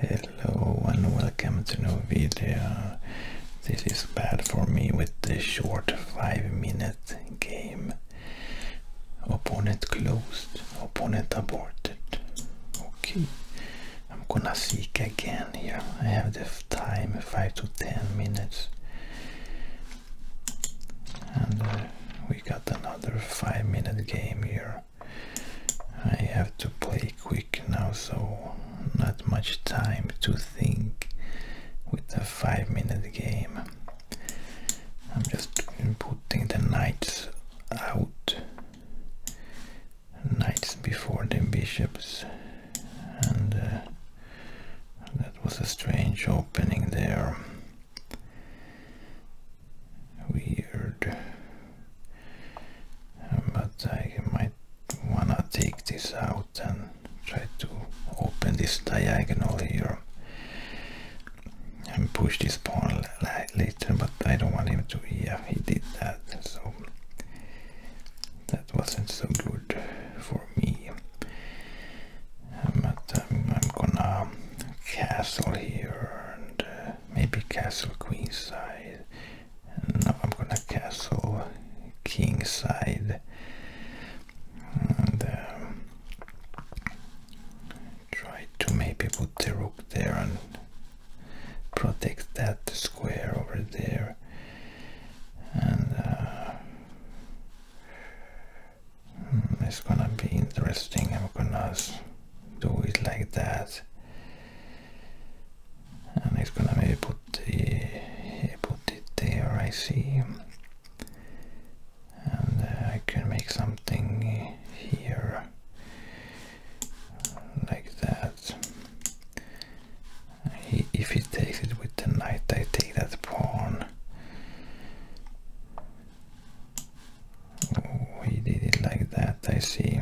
Hello and welcome to new video. This is bad for me with the short 5 minute game. Opponent closed, opponent aborted. Okay, I'm gonna seek again here. I have the time 5 to 10 minutes. And uh, we got another 5 minute game here. I have to play quick now, so not much time to think with a five minute game. I'm just putting the knights out, knights before the bishops, and uh, that was a strange opening there weird. But I might wanna take this out and try to open this diagonal here and push this pawn later, but I don't want him to, yeah, he did that, so that wasn't so good for me. But I'm gonna castle here uh, maybe castle queen side. I'm gonna castle king side. And um, try to maybe put the rook there and protect that square over there. And uh, Hmm, it's gonna be interesting I'm gonna do it like that and it's gonna maybe put it there I see and uh, I can make something here like that if he takes it with the knight I take that pawn Oh, he did it like that, I see.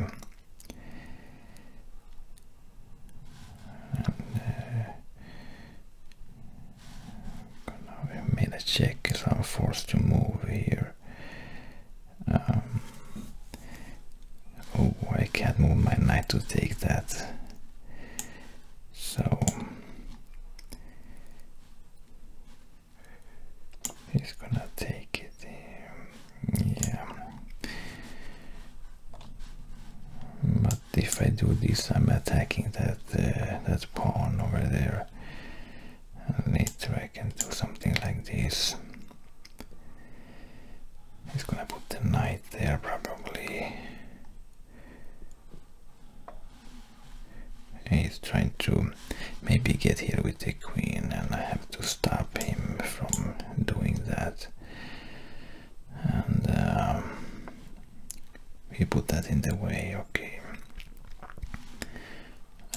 And, we uh, made a check, I'm forced to move here. Um, oh, I can't move my knight to take that. So He's gonna take it. yeah. But if I do this, I'm attacking that uh, that pawn over there. And later I can do something like this. He's gonna put the knight there, probably. He's trying to maybe get here with the queen and I have to stop him from doing that. And um, put that in the way, okay.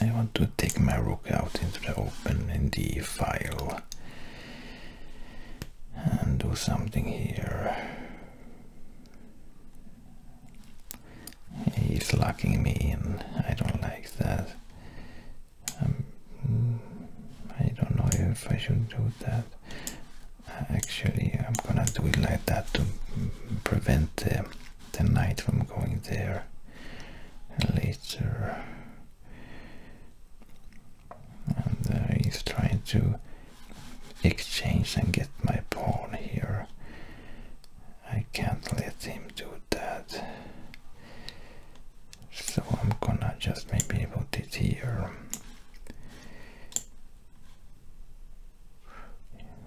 I want to take my rook out into the open in the file and do something here. He's locking me in. I don't like that. Um, I don't know if I should do that. Uh, actually, I'm gonna do it like that to prevent the, the knight from going there later. And uh, he's trying to exchange and get my pawn here. I can't let him do that. So I'm gonna just maybe put it here.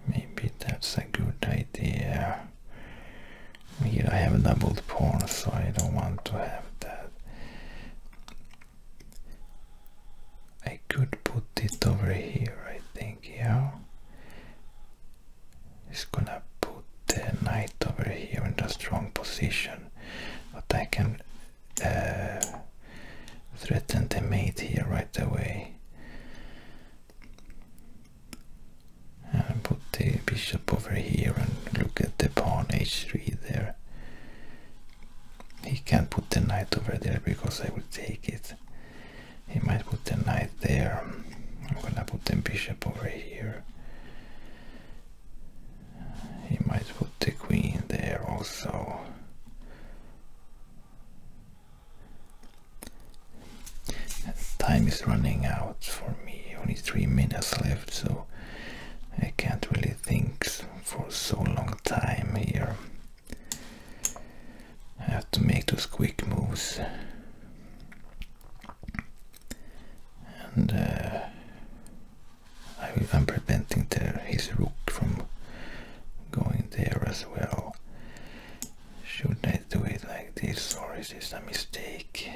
Maybe that's a good idea. Here I have a doubled pawn so I don't want to have that. I could put it over here, I think, yeah. It's gonna put the knight over here in a strong position, but I can uh, threaten the mate here right away. And put the bishop over here and look at the pawn h3 there. He can't put the knight over there because I will take it. He might put the knight there. I'm gonna put the bishop over here. He might put the queen there also. Time is running out for me. Only three minutes left, so I can't really think for so long time here. I have to make those quick moves. And uh, I, am preventing his rook from going there as well. Should I do it like this or is this a mistake?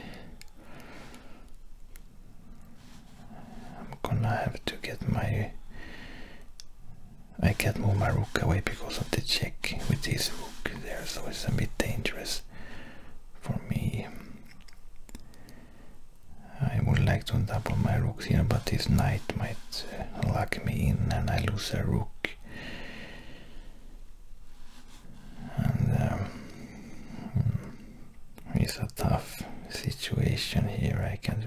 I'm gonna have to get my... I can't move my rook away because of the check with this rook there, so it's a bit dangerous for me. I would like to double my rooks here, but this knight might uh, lock me in and I lose a rook. Um, hmm. It's a tough situation here. I can't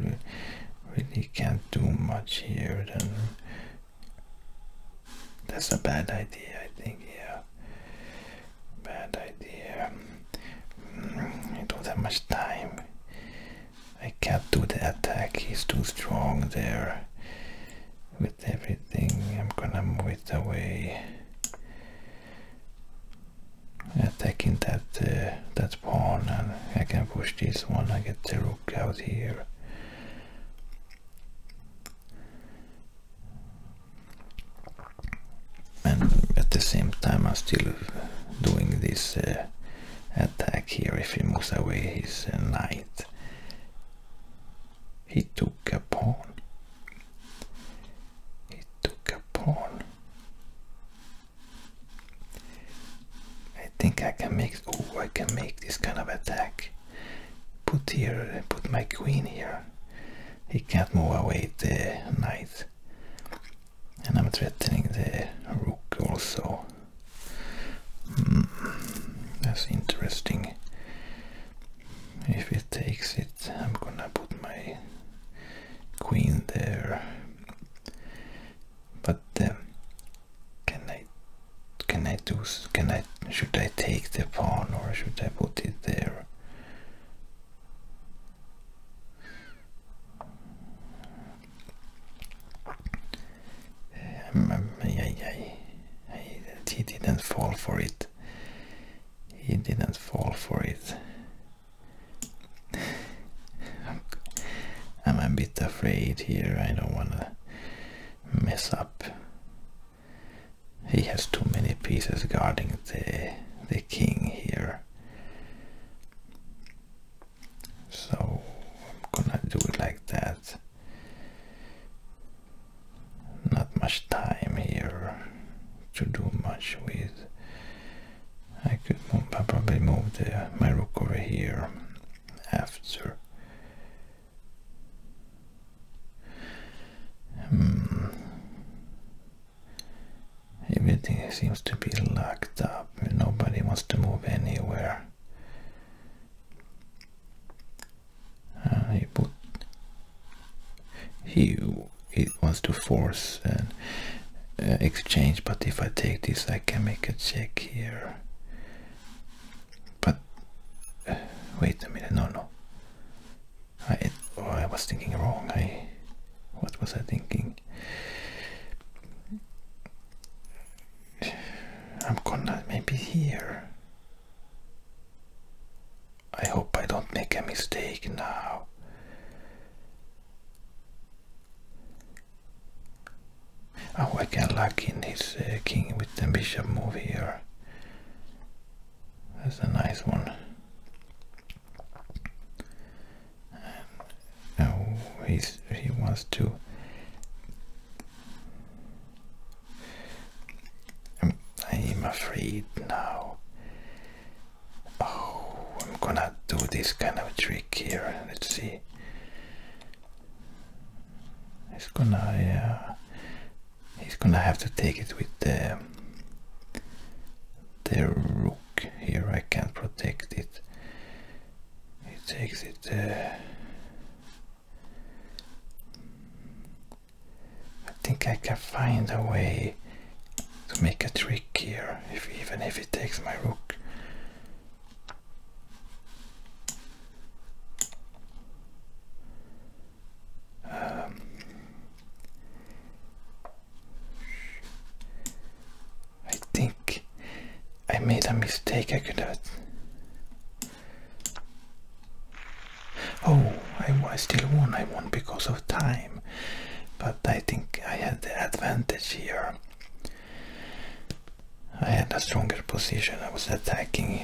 really can't do much here. Then that's a bad idea. I think. Yeah, bad idea. Mm, I don't have much time. I can't do the attack. He's too strong there. With everything, I'm gonna move it away attacking that uh, that pawn and I can push this one I get the rook out here and at the same time I'm still doing this uh, attack here if he moves away his uh, knight he took a pawn. He took a pawn. I think I can make. Oh, I can make this kind of attack. Put here, put my queen here. He can't move away the knight, and I'm threatening the rook also. Hmm, that's interesting if it takes it I'm gonna put my queen there but um, can I can I do can I should I take the pawn or should I put it there um, um I, I, he didn't fall for it he didn't fall for it. I'm a bit afraid here, I don't want to mess up. He has too many pieces guarding the, the king here. So I'm gonna do it like that. Not much time here to do much with. I could probably move my rook over here after. Hmm. Everything seems to be locked up. Nobody wants to move anywhere. Uh, he put he it wants to force an uh, exchange, but if I take this, I can make a check here. But uh, wait a minute, no, no. I oh, I was thinking wrong. I what was I thinking? I'm gonna maybe here. I hope I don't make a mistake now. Oh, I can lock in his uh, king with the bishop move here. That's a nice one. oh, he's, he wants to I'm, afraid now. Oh, I'm gonna do this kind of trick here. Let's see. He's gonna, uh, he's gonna have to take it with the the rook here. I can't protect it. He takes it. Uh, I think I can find a way to make a trick here, even if it takes my rook. Um, I think I made a mistake. I could have. Oh, I still won. I won because of time, but I think I had the advantage here. I had a stronger position. I was attacking,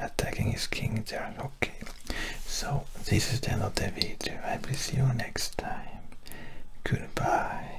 attacking his king there. Okay, so this is the end of the video. I will see you next time. Goodbye.